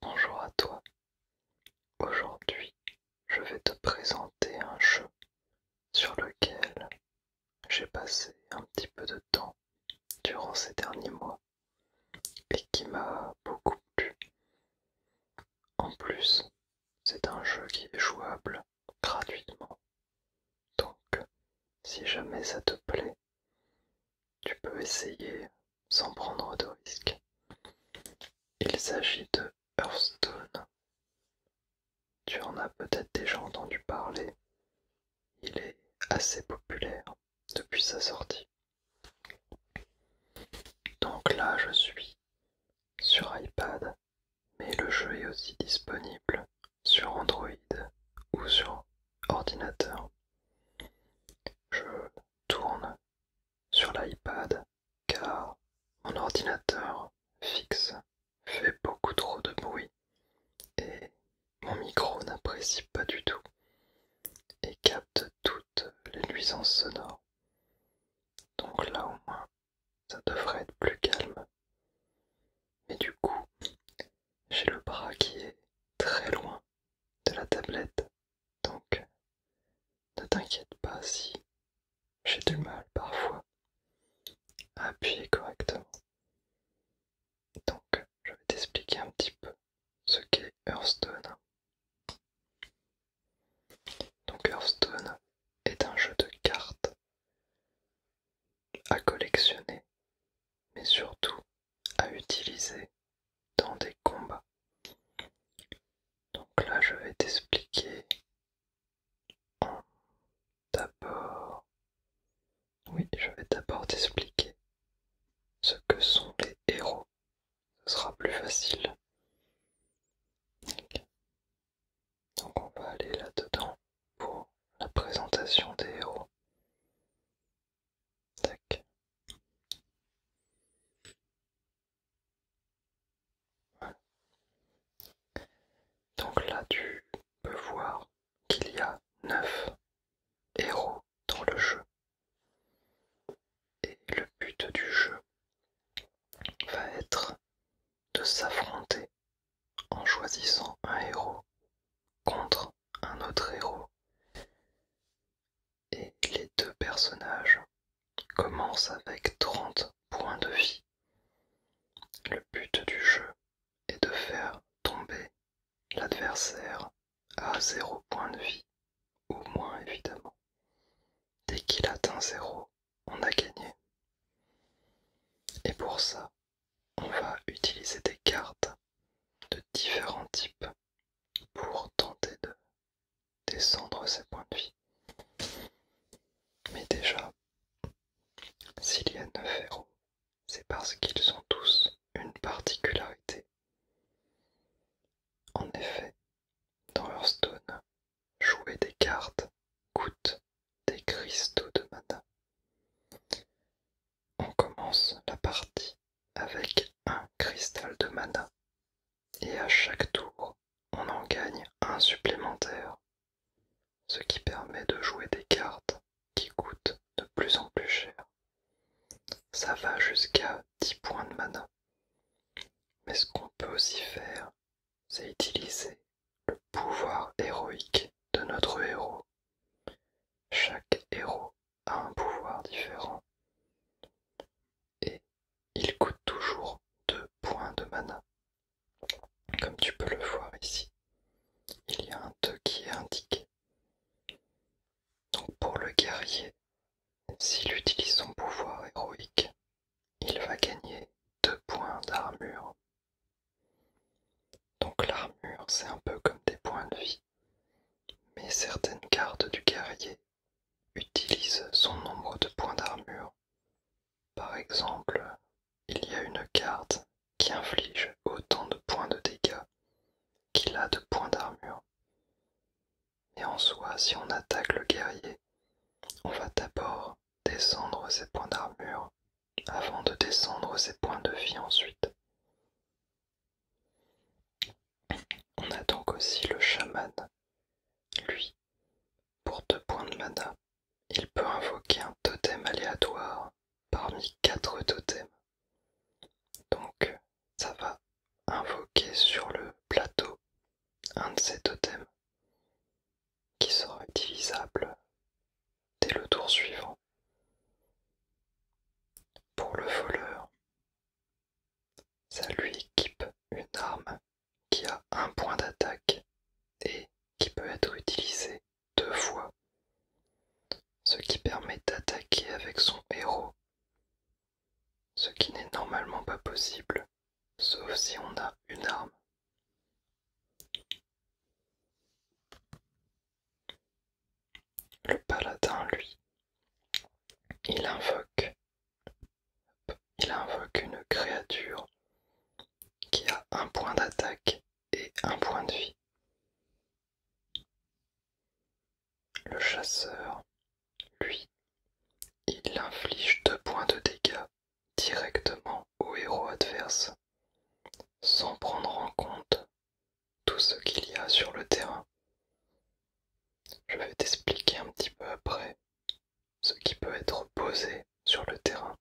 Bonjour à toi. Aujourd'hui, je vais te présenter un jeu sur lequel j'ai passé un petit peu de temps durant ces derniers mois et qui m'a beaucoup plu. En plus, c'est un jeu qui est jouable gratuitement. Donc, si jamais ça te plaît, tu peux essayer sans prendre de risque Il s'agit de Hearthstone. Tu en as peut-être déjà entendu parler. Il est assez populaire depuis sa sortie. Donc là je suis sur iPad, mais le jeu est aussi disponible sur Android ou sur ordinateur. Je tourne sur l'iPad car mon ordinateur fixe fait beaucoup trop de bruit et mon micro n'apprécie pas du tout et capte toutes les nuisances sonores. Donc là au moins, ça devrait être plus calme. Mais du coup, j'ai le bras qui est très loin de la tablette. Donc, ne t'inquiète pas si j'ai du mal parfois à appuyer correctement. Donc, je vais t'expliquer un petit peu ce qu'est Hearthstone. Donc Hearthstone est un jeu de cartes à collectionner, mais surtout à utiliser dans des combats. Donc là, je vais t'expliquer en... d'abord. Oui, je vais d'abord t'expliquer ce que sont les héros ce sera plus facile. Donc on va aller là-dedans pour la présentation des héros. Donc là tu peux voir qu'il y a 9 héros dans le jeu. Et le but du jeu va être de s'affronter en choisissant un héros contre un autre héros. Et les deux personnages commencent avec 30 points de vie. Le but du jeu est de faire tomber l'adversaire à zéro point de vie, au moins évidemment. Dès qu'il atteint zéro, on a gagné. Et pour ça, on va utiliser des cartes de différents types pour tenter de descendre ses points de vie. Mais déjà, s'il y a 9 héros, c'est parce qu'ils ont tous une particularité en effet, dans Hearthstone, jouer des cartes coûte des cristaux de mana. On commence la partie avec un cristal de mana et à chaque tour on en gagne un supplémentaire, ce qui permet de jouer des cartes qui coûtent de plus en plus cher. Ça va jusqu'à 10 points de mana. Mais ce qu'on peut aussi faire, c'est utiliser le pouvoir héroïque de notre héros. Chaque héros a un pouvoir différent. Et il coûte toujours 2 points de mana. Comme tu peux le voir ici, il y a un 2 qui est indiqué. Donc pour le guerrier, s'il utilise son pouvoir héroïque, il va gagner 2 points d'armure. Donc l'armure, c'est un peu comme des points de vie, mais certaines cartes du guerrier utilisent son nombre de points d'armure. Par exemple, il y a une carte qui inflige autant de points de dégâts qu'il a de points d'armure. Et en soi, si on attaque le guerrier, on va d'abord descendre ses points d'armure avant de descendre ses points de vie ensuite. On a donc aussi le chaman. Lui, pour deux points de mana, il peut invoquer un totem aléatoire parmi quatre totems. Donc ça va invoquer sur le plateau un de ces totems qui sera utilisable dès le tour suivant. Pour le voleur, ça lui équipe une arme qui a un point d'attaque et qui peut être utilisée deux fois ce qui permet d'attaquer avec son héros, ce qui n'est normalement pas possible, sauf si on a une arme. Le paladin, lui, il invoque, il invoque une créature qui a un point d'attaque et un point de vie. Le chasseur, lui, il inflige deux points de dégâts directement au héros adverse, sans prendre en compte tout ce qu'il y a sur le terrain. Je vais t'expliquer un petit peu après ce qui peut être posé sur le terrain.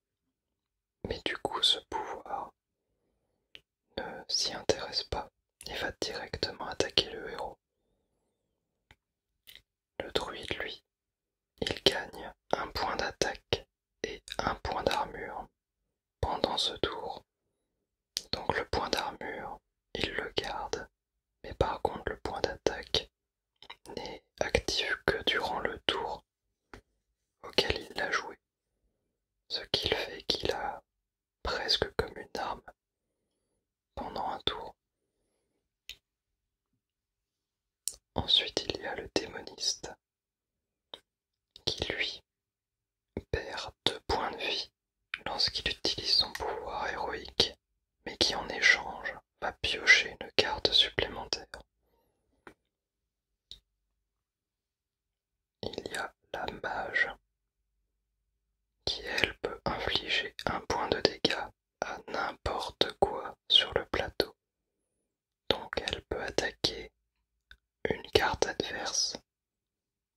Mais du coup, ce pouvoir ne s'y intéresse pas et va directement attaquer le héros. Le druide, lui, il gagne un point d'attaque et un point d'armure pendant ce tour. Donc le point d'armure, il le garde, mais par contre le point d'attaque n'est actif que durant le tour auquel il l'a joué. Ce qu'il fait qu'il a presque comme une arme, pendant un tour. Ensuite, il y a le démoniste, qui lui perd deux points de vie lorsqu'il utilise son pouvoir héroïque, mais qui en échange va piocher une carte supplémentaire. Il y a la mage, qui elle peut infliger un point de dégâts à n'importe quoi sur le plateau. Donc elle peut attaquer une carte adverse,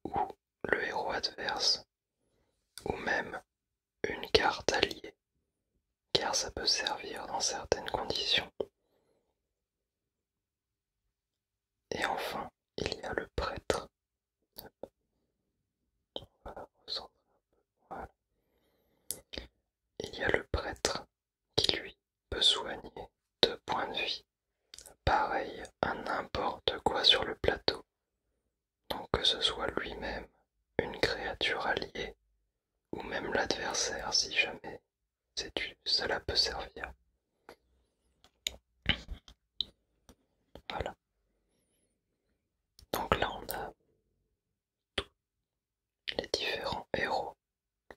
ou le héros adverse, ou même une carte alliée, car ça peut servir dans certaines conditions. Et enfin, il y a le prêtre. Il y a le prêtre qui, lui, peut soigner deux points de vie. Pareil à n'importe quoi sur le plateau. Donc que ce soit lui-même, une créature alliée, ou même l'adversaire si jamais cela peut servir. Voilà. Donc là, on a tous les différents héros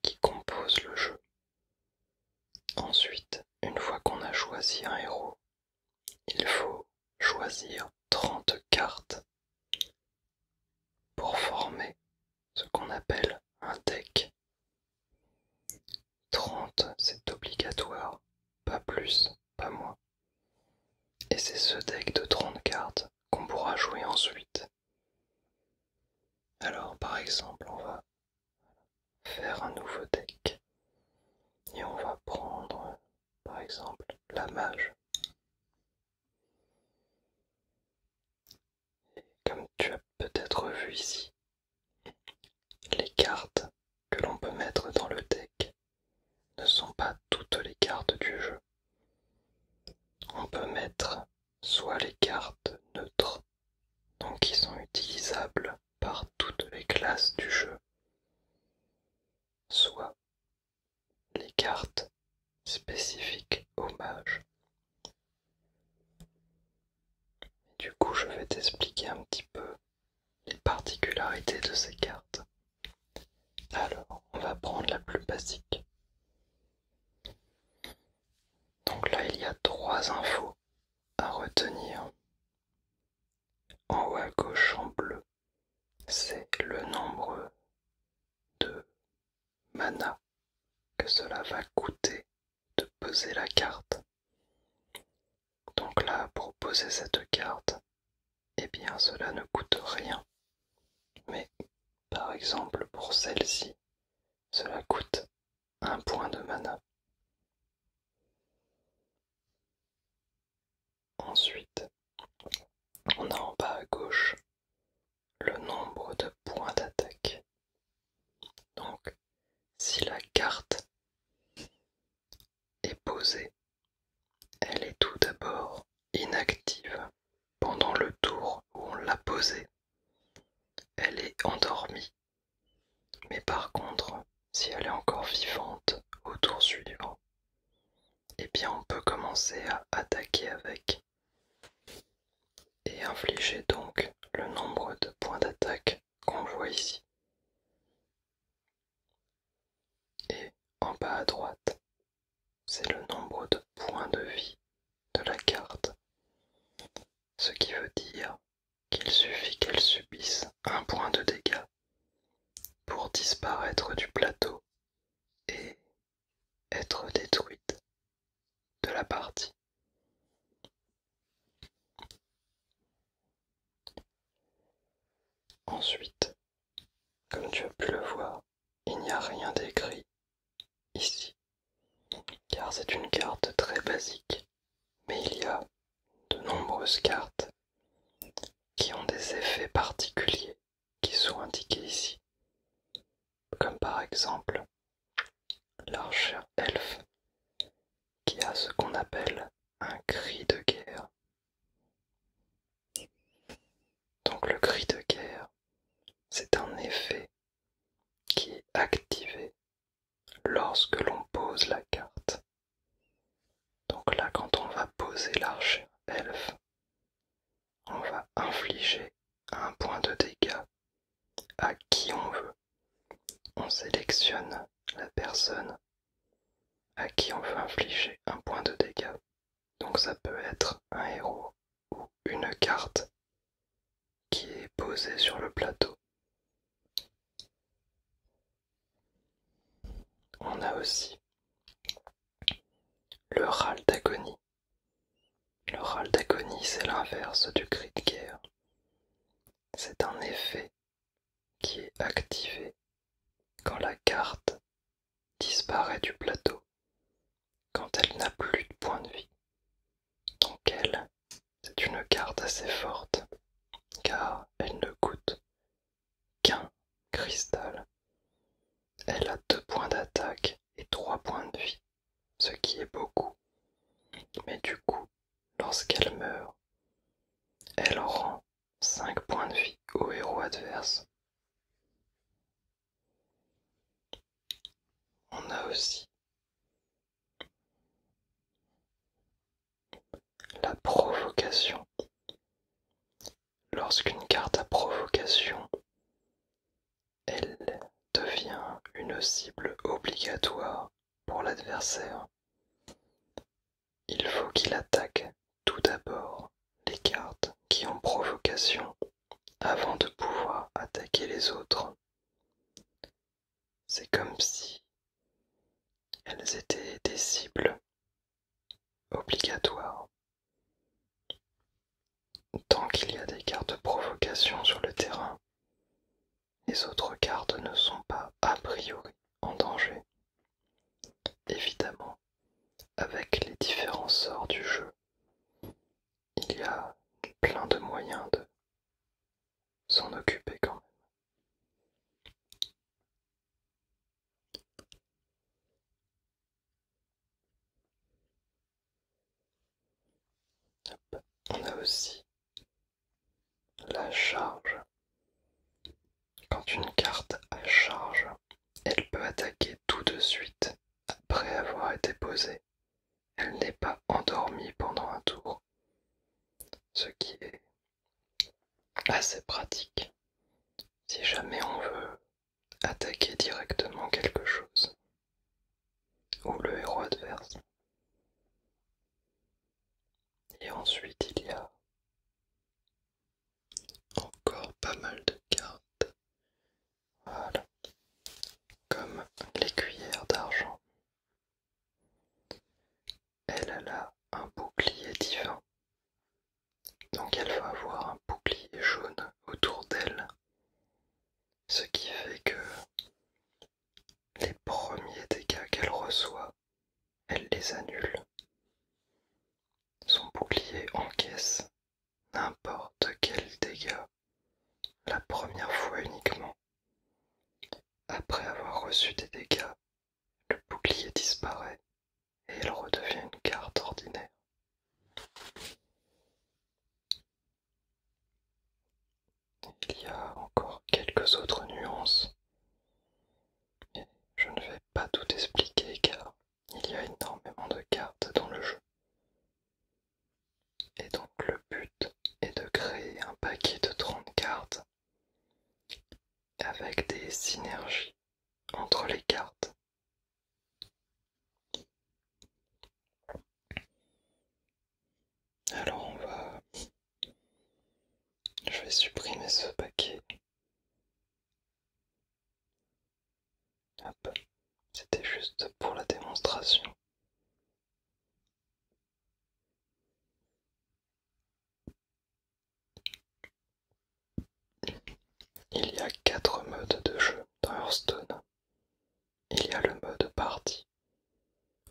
qui composent le jeu. Ensuite, une fois qu'on a choisi un héros, il faut choisir 30 cartes pour former ce qu'on appelle un deck. 30, c'est obligatoire, pas plus, pas moins. Et c'est ce deck de 30 cartes qu'on pourra jouer ensuite. Alors par exemple, on va faire un nouveau deck et on va prendre par exemple la mage. comme tu as peut-être vu ici, les cartes que l'on peut mettre dans le deck ne sont pas toutes les cartes du jeu. On peut mettre soit les cartes neutres, donc qui sont utilisables par toutes les classes du jeu, soit les cartes spécifiques au du coup, je vais t'expliquer un petit peu les particularités de ces cartes. Alors, on va prendre la plus basique. Donc là, il y a trois infos à retenir. En haut à gauche, en bleu, c'est le nombre de mana que cela va coûter de poser la carte. Donc là, pour poser cette carte, eh bien cela ne coûte rien. Mais par exemple pour celle-ci, cela coûte un point de mana. Ensuite, on a en bas à gauche le nombre de points d'attaque. Donc, si la carte est posée, elle est tout d'abord inactive pendant le tour où on l'a posée. Elle est endormie. Mais par contre, si elle est encore vivante au tour suivant, eh bien on peut commencer à attaquer avec et infligez donc le nombre de points d'attaque qu'on voit ici. Et en bas à droite, c'est le nombre de points de vie de la carte, ce qui veut dire qu'il suffit qu'elle subisse un point de dégâts pour disparaître du plateau et être détruite de la partie. Ensuite, comme tu as pu le voir, il n'y a rien d'écrit ici, car c'est une carte très basique, mais il y a de nombreuses cartes qui ont des effets particuliers qui sont indiqués ici comme par exemple l'archer Elf qui a ce qu'on appelle un cri de guerre. Donc le cri de guerre, c'est un effet qui est activé lorsque l'on pose la carte. Donc là, quand on va poser l'archer Elf, on va infliger un point de dégâts à qui on veut. On sélectionne la personne à qui on veut infliger un point de dégâts. Donc ça peut être un héros ou une carte qui est posée sur le plateau. On a aussi le râle d'agonie. Le râle d'agonie, c'est l'inverse du cri de guerre. C'est un effet qui est activé quand la carte disparaît du plateau, quand elle n'a plus de points de vie. Donc elle, c'est une carte assez forte, car elle ne coûte qu'un cristal. Elle a deux points d'attaque et 3 points de vie, ce qui est beaucoup. Mais du coup, lorsqu'elle meurt, elle rend 5 points de vie au héros adverse. On a aussi la provocation. Lorsqu'une carte à provocation elle devient une cible obligatoire pour l'adversaire. Il faut qu'il attaque tout d'abord les cartes qui ont provocation avant de pouvoir attaquer les autres. C'est comme si elles étaient des cibles obligatoires. Tant qu'il y a des cartes provocation sur le terrain, les autres cartes ne sont pas a priori en danger. Évidemment, avec les différents sorts du jeu, il y a plein de moyens de s'en occuper quand même. On a aussi la charge. Quand une carte à charge, elle peut attaquer tout de suite après avoir été posée. Elle n'est pas endormie pendant un tour, ce qui est assez pratique si jamais on veut attaquer directement quelque chose ou le héros adverse. Et ensuite il y a encore pas mal de cartes. Comme les cuillères d'argent. Elle a là un bouclier divin. Donc elle va avoir un bouclier jaune autour d'elle. Ce qui fait que les premiers dégâts qu'elle reçoit, elle les annule. Son bouclier encaisse n'importe quel dégât la première fois uniquement. Après avoir reçu des dégâts, le bouclier disparaît et elle redevient une carte ordinaire. Il y a encore quelques autres nuances, mais je ne vais pas tout expliquer car il y a énormément de cartes dans le jeu. Et donc le but est de créer un paquet de 30 cartes avec des synergies entre les cartes. Alors on va... Je vais supprimer ce paquet. Hop, c'était juste pour la démonstration. Il y a quatre modes de jeu dans Hearthstone il y a le mode partie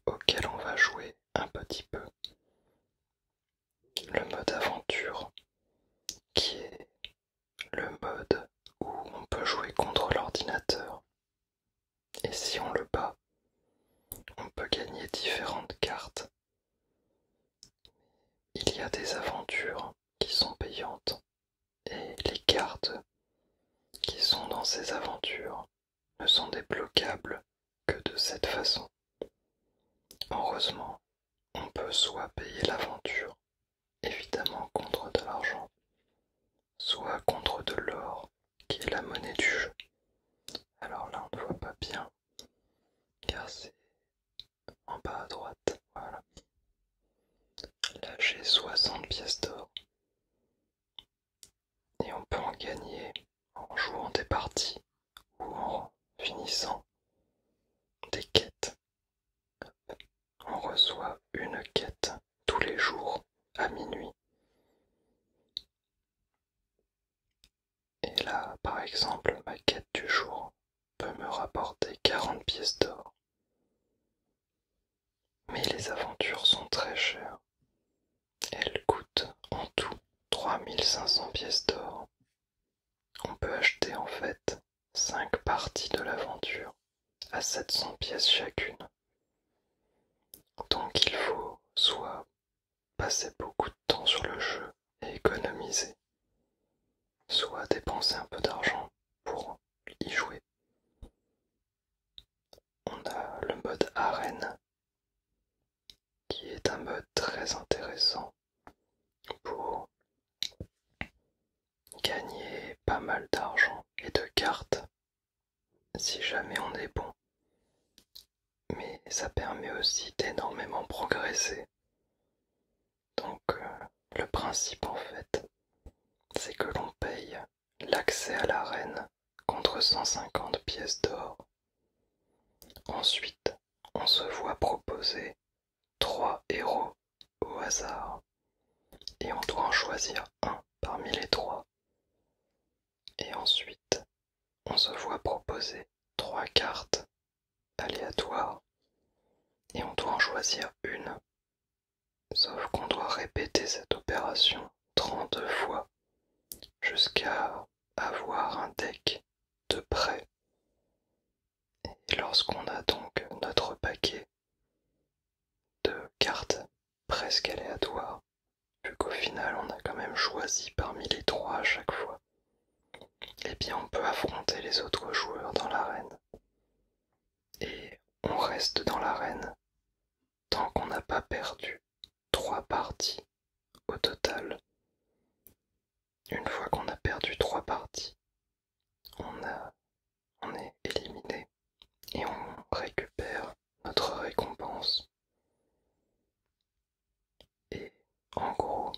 auquel on va jouer un petit peu. Le mode aventure qui est le mode où on peut jouer contre l'ordinateur. Et si on le bat, on peut gagner différentes cartes. Il y a des aventures qui sont payantes et les cartes qui sont dans ces aventures ne sont débloquables que de cette façon. Heureusement, on peut soit payer l'aventure, évidemment contre de l'argent, soit contre de l'or, qui est la monnaie du jeu. Alors là, on ne voit pas bien, car c'est en bas à droite. Voilà. Là, j'ai 60 pièces d'or. Et on peut en gagner en jouant des parties ou en finissant des quêtes. On reçoit une quête tous les jours à minuit. Et là, par exemple, ma quête du jour peut me rapporter 40 pièces d'or. Mais les aventures sont très chères. Elles coûtent en tout 3500 pièces d'or. On peut acheter en fait 5 parties de l'aventure à 700 pièces chacune. Donc il faut soit passer beaucoup de temps sur le jeu et économiser, soit dépenser un peu d'argent pour y jouer. On a le mode arène qui est un mode très intéressant pour gagner pas mal d'argent et de cartes si jamais on est bon. Mais ça permet aussi d'énormément progresser. Donc euh, le principe en fait, c'est que l'on paye l'accès à la reine contre 150 pièces d'or. Ensuite, on se voit proposer trois héros au hasard, et on doit en choisir un parmi les trois. Et ensuite, on se voit proposer trois cartes aléatoires, et on doit en choisir une Sauf qu'on doit répéter cette opération 32 fois jusqu'à avoir un deck de près. Et lorsqu'on a donc notre paquet de cartes presque aléatoires, vu qu'au final on a quand même choisi parmi les trois à chaque fois, eh bien on peut affronter les autres joueurs dans l'arène et on reste dans l'arène tant qu'on n'a pas perdu trois parties au total. Une fois qu'on a perdu trois parties, on, on est éliminé et on récupère notre récompense. Et en gros,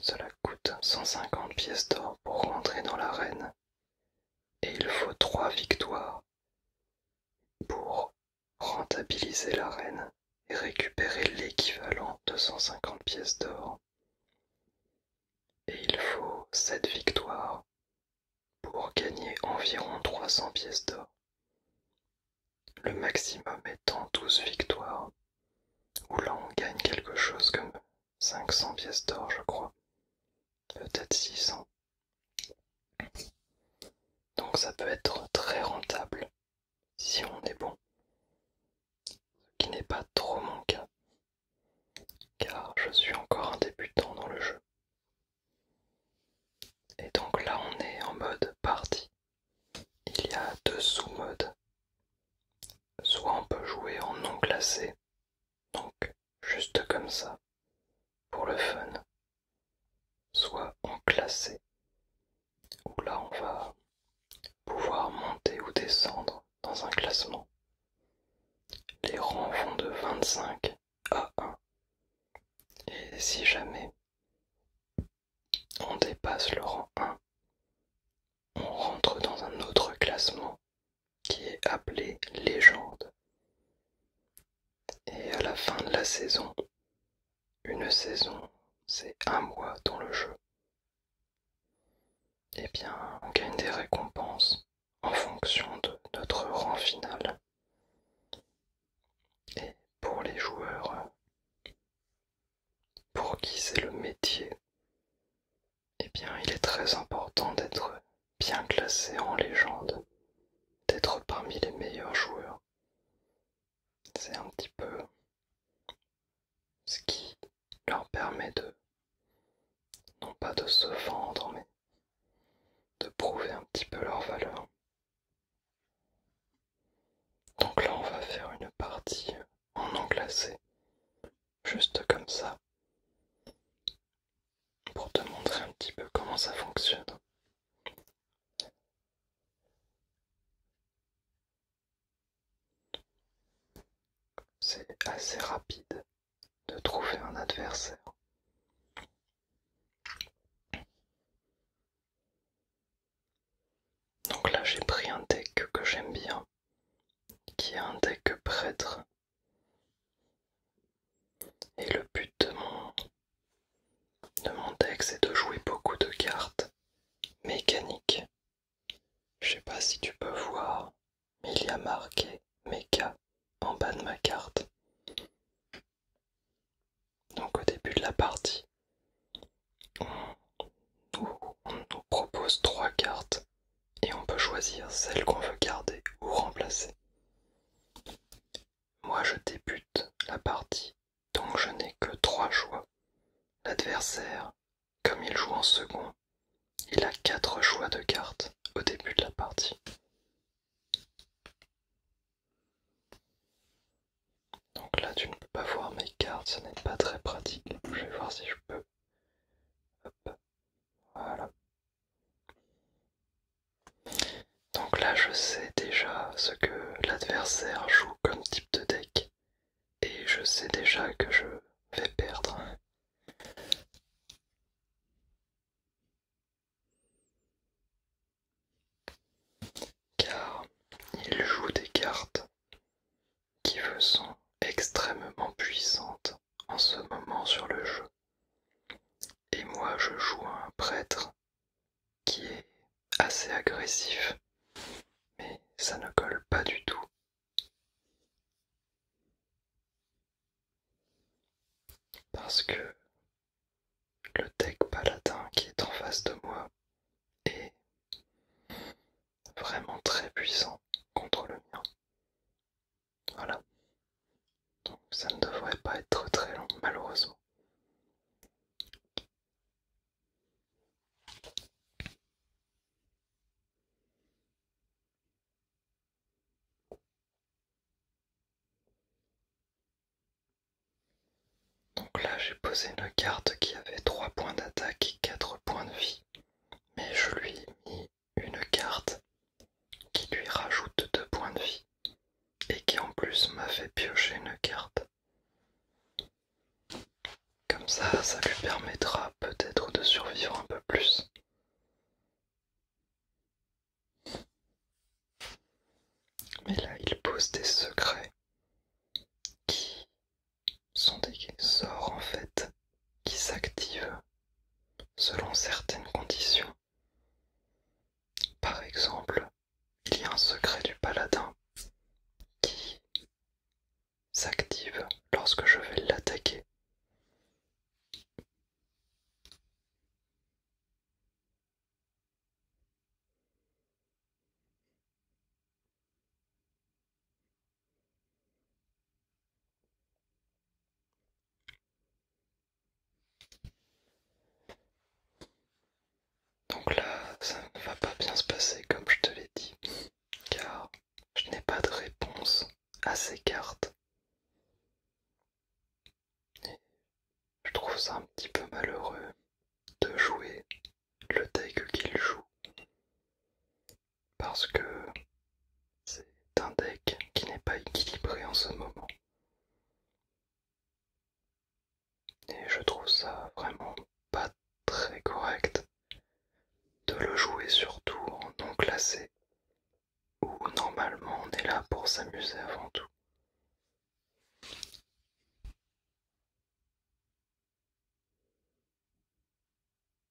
cela coûte 150 pièces d'or pour rentrer dans l'arène et il faut 3 victoires pour rentabiliser la reine et récupérer l'équivalent de 150 pièces d'or. Et il faut 7 victoires pour gagner environ 300 pièces d'or. Le maximum étant 12 victoires, où là on gagne quelque chose comme 500 pièces d'or, je crois. Peut-être 600. Donc ça peut être très rentable si on est bon. Ce qui n'est pas trop mon cas. Car je suis encore un débutant dans le jeu. Et donc là on est en mode partie. Il y a deux sous-modes. Soit on peut jouer en non classé. Donc juste comme ça, pour le fun. Soit en classé, où là on va pouvoir monter ou descendre dans un classement. Les rangs vont de 25 à 1. Et si jamais on dépasse le rang 1, on rentre dans un autre classement qui est appelée légende. Et à la fin de la saison, une saison, c'est un mois dans le jeu. Eh bien, on gagne des récompenses en fonction de notre rang final. Et pour les joueurs pour qui c'est le métier, eh bien il est très important d'être bien classé en légende, d'être parmi les meilleurs joueurs. C'est un petit peu ce qui leur permet de, non pas de se vendre, mais de prouver un petit peu leur valeur. Donc là on va faire une partie en non classé juste comme ça, pour te montrer un petit peu comment ça fonctionne. C'est assez rapide de trouver un adversaire. Donc là j'ai pris un deck que j'aime bien, qui est un deck prêtre et le but de mon, deck, c'est de jouer beaucoup de cartes mécaniques. Je sais pas si tu peux voir, mais il y a marqué méca en bas de ma carte. Donc au début de la partie, on, nous propose trois cartes et on peut choisir celle qu'on veut garder ou remplacer. Moi je débute la partie donc je n'ai que trois choix. L'adversaire, comme il joue en second, il a quatre choix de cartes au début de la partie. Donc là tu ne peux pas voir mes cartes, ce n'est pas très pratique. Je vais voir si je peux. Voilà. Donc là, je sais déjà ce que l'adversaire joue comme type de deck. Et je sais déjà que je vais perdre. Car il joue des cartes qui me sont extrêmement puissantes en ce moment sur le jeu. Et moi je joue à un prêtre qui est assez agressif, mais ça ne colle pas du tout. Parce que le tech paladin qui est en face de moi est vraiment très puissant contre le mien. Voilà. Donc ça ne devrait pas être très long, malheureusement. Donc là j'ai posé une carte qui avait 3 points d'attaque et 4 points de vie. Mais je lui ai mis une carte qui lui rajoute deux points de vie et qui en plus m'a fait piocher une carte. Comme ça, ça lui permettra peut-être de survivre un peu plus. Mais là, il pose des secrets qui sont des sorts en fait qui s'activent selon certaines conditions. Par exemple, il y a un secret du paladin qui s'active lorsque je vais l'attaquer. Donc là, ça ne va pas bien se passer comme je te l'ai dit, car je n'ai pas de réponse à ces cartes. je trouve ça un petit peu malheureux de jouer le deck qu'il joue parce que c'est un deck qui n'est pas équilibré en ce moment. Et je trouve ça vraiment pas très correct de le jouer surtout en non classé, où normalement on est là pour s'amuser avant tout.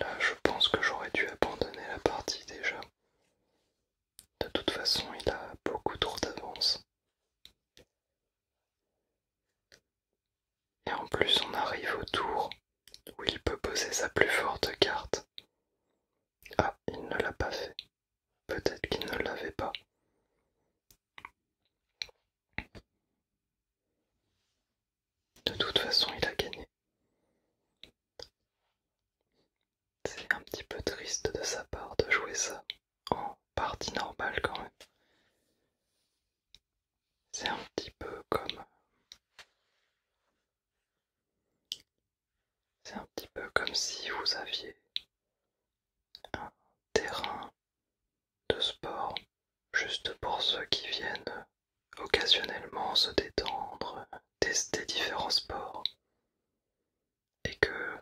Là, je pense que j'aurais dû abandonner la partie déjà. De toute façon, il a beaucoup trop d'avance. Et en plus, on arrive au tour où il peut poser sa plus forte carte. Ah, il ne l'a pas fait. Peut-être qu'il ne l'avait pas. De toute façon, il a gagné. C'est un petit peu triste de sa part de jouer ça en partie normale quand même. C'est un petit peu comme... C'est un petit peu comme si vous aviez un terrain de sport, juste pour ceux qui viennent occasionnellement se détendre, tester différents sports, et que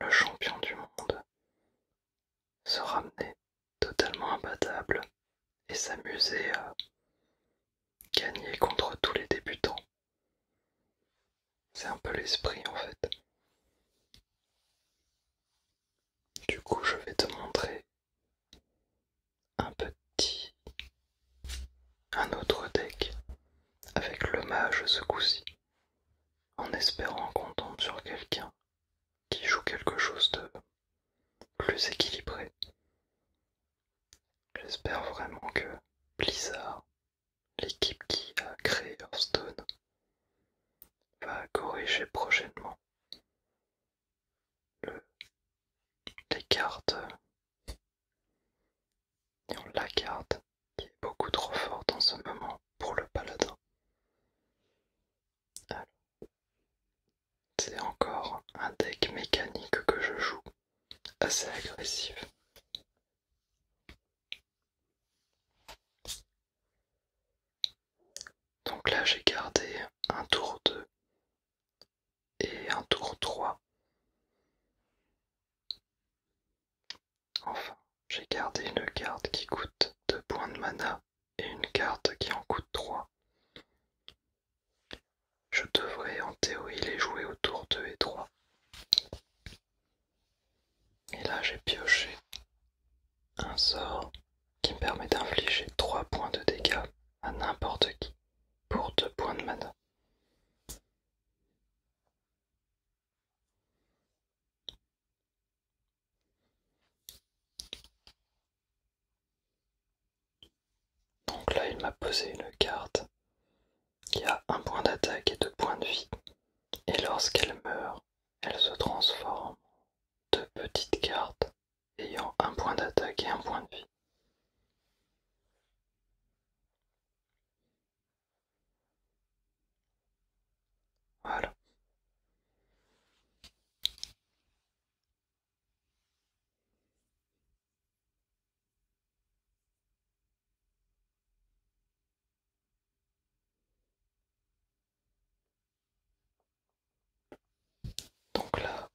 le champion du monde se ramenait totalement imbattable et s'amuser à gagner contre tous les débutants. C'est un peu l'esprit en fait. Du coup, je vais te montrer un petit, un autre deck avec l'hommage ce coup-ci, en espérant qu'on tombe sur quelqu'un qui joue quelque chose de plus équilibré. J'espère vraiment que Blizzard, l'équipe qui a créé Hearthstone, va corriger prochainement les cartes la carte qui est beaucoup trop forte en ce moment pour le paladin. C'est encore un deck mécanique que je joue, assez agressif. Donc là j'ai gardé un tour 2 et un tour 3. Enfin, j'ai gardé une carte qui coûte 2 points de mana et une carte qui en coûte 3. Je devrais en théorie les jouer au tour 2 et 3. Et là j'ai pioché un sort qui me permet d'infliger 3 points de dégâts à n'importe qui pour 2 points de mana. Donc là, il m'a posé une carte qui a un point d'attaque et deux points de vie. Et lorsqu'elle meurt, elle se transforme deux petites cartes ayant un point d'attaque et un point de vie. Voilà. Donc là,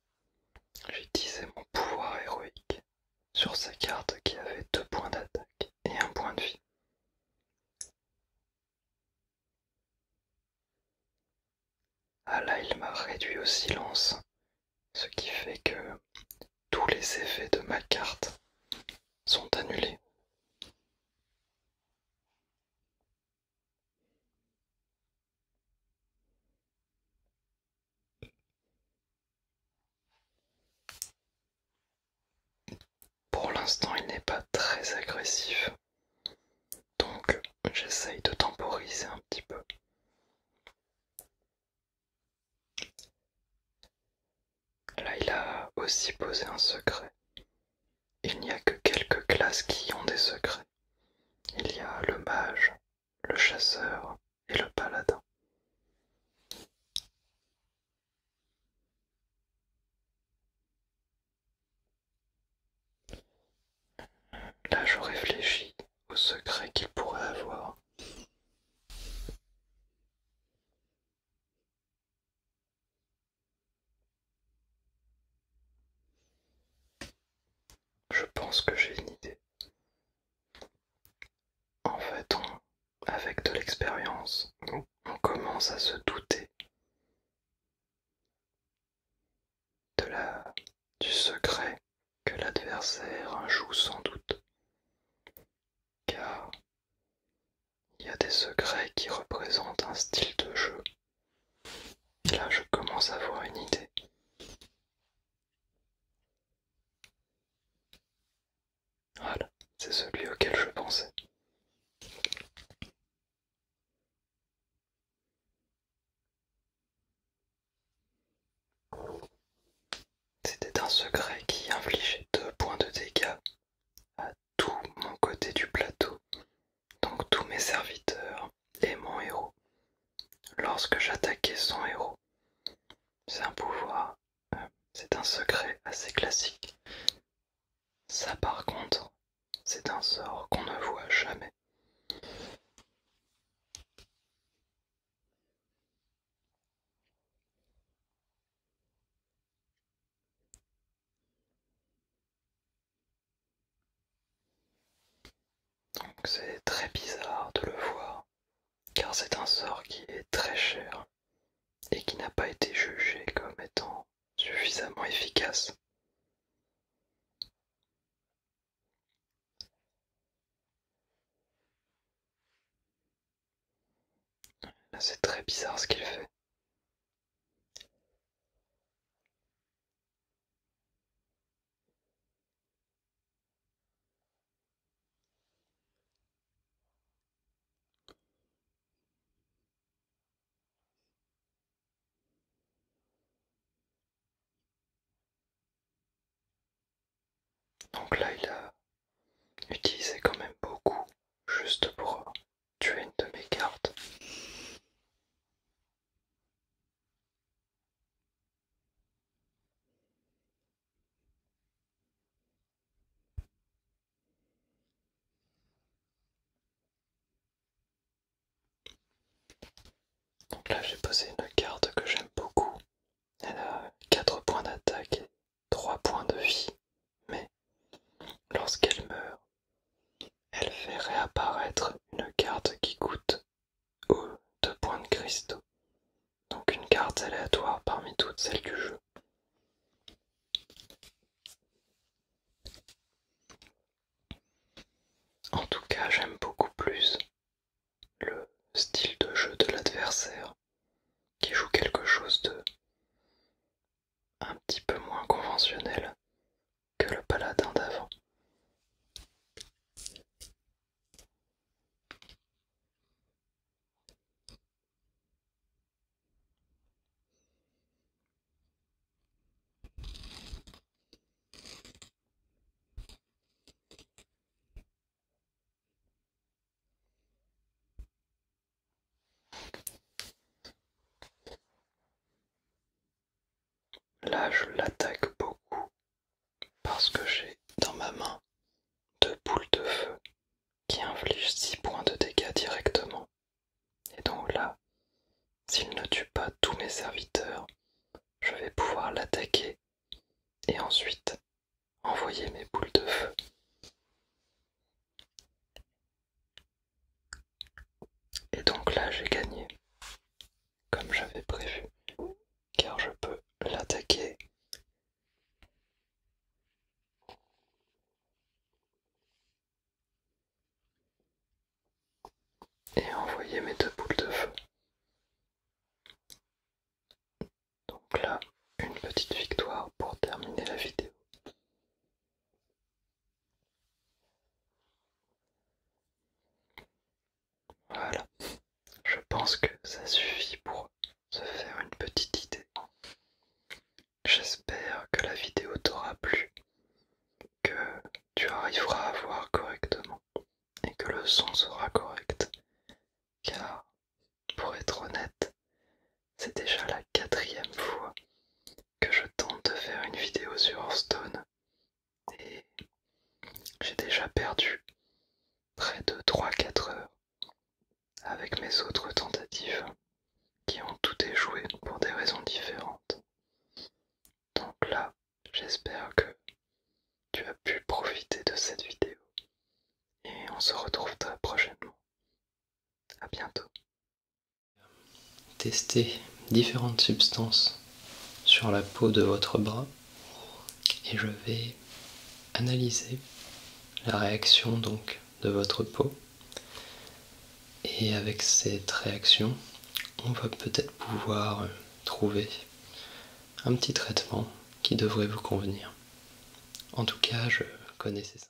j'utilisais mon pouvoir héroïque sur sa carte qui avait deux points d'attaque et un point de vie. Ah là, il m'a réduit au silence, ce qui fait que tous les effets de ma carte sont annulés. Pour l'instant, il n'est pas très agressif, donc j'essaye de temporiser un petit peu. Là, il a aussi posé un secret il n'y a que quelques classes qui ont des secrets. Il y a le mage, le chasseur et le paladin. Là, je réfléchis aux secrets qu'il pourrait avoir. Je pense que j'ai une idée. En fait, avec de l'expérience, on commence à se douter de la, du secret que l'adversaire joue sans doute. Car il y a des secrets qui représentent un style de jeu. Et là, je commence à voir une idée. Voilà, c'est celui auquel je pensais. C'était un secret qui infligeait deux points de dégâts à tout mon côté du plateau donc tous mes serviteurs et mon héros, lorsque j'attaquais son héros. C'est un pouvoir, euh, c'est un secret assez classique. Ça par contre, c'est un sort qu'on ne voit jamais. Donc c'est très bizarre de le voir, car c'est un sort qui est très cher et qui n'a pas été jugé comme étant suffisamment efficace. c'est très bizarre ce qu'il fait. Donc là, il a utilisé quand même beaucoup juste pour es une de mes cartes. Donc là j'ai posé une carte que j'aime beaucoup. Elle a 4 points d'attaque et 3 points de vie mais lorsqu'elle meurt, elle fait réapparaître une carte qui coûte aux deux points de cristaux, donc une carte aléatoire parmi toutes celles du jeu. En tout cas, j'aime beaucoup plus le style de jeu de l'adversaire qui joue quelque chose de un petit peu moins conventionnel que le paladin d'avant. Là, je l'attaque beaucoup parce que j'ai dans ma main deux boules de feu qui infligent 6 points de dégâts directement. Et donc là, s'il ne tue pas tous mes serviteurs, je vais pouvoir l'attaquer et ensuite envoyer mes boules de feu. Et donc là j'ai gagné, comme j'avais prévu, car je peux l'attaquer. Et envoyer mes deux boules de feu. Donc là, une petite victoire pour terminer la vidéo. Voilà, je pense que ça suffit pour se faire une petite idée. J'espère que la vidéo t'aura plu, que tu arriveras à voir correctement et que le son sera correct. Car, pour être honnête, c'est déjà la quatrième fois que je tente de faire une vidéo sur Hearthstone et j'ai déjà perdu près de 3-4 heures avec mes autres tentatives qui ont tout échoué pour des raisons différentes. Donc là, j'espère que tu as pu profiter de cette vidéo et on se retrouve très prochainement. À bientôt. Tester différentes substances sur la peau de votre bras et je vais analyser la réaction donc de votre peau et avec cette réaction on va peut-être pouvoir trouver un petit traitement qui devrait vous convenir. En tout cas, je connaissais ça.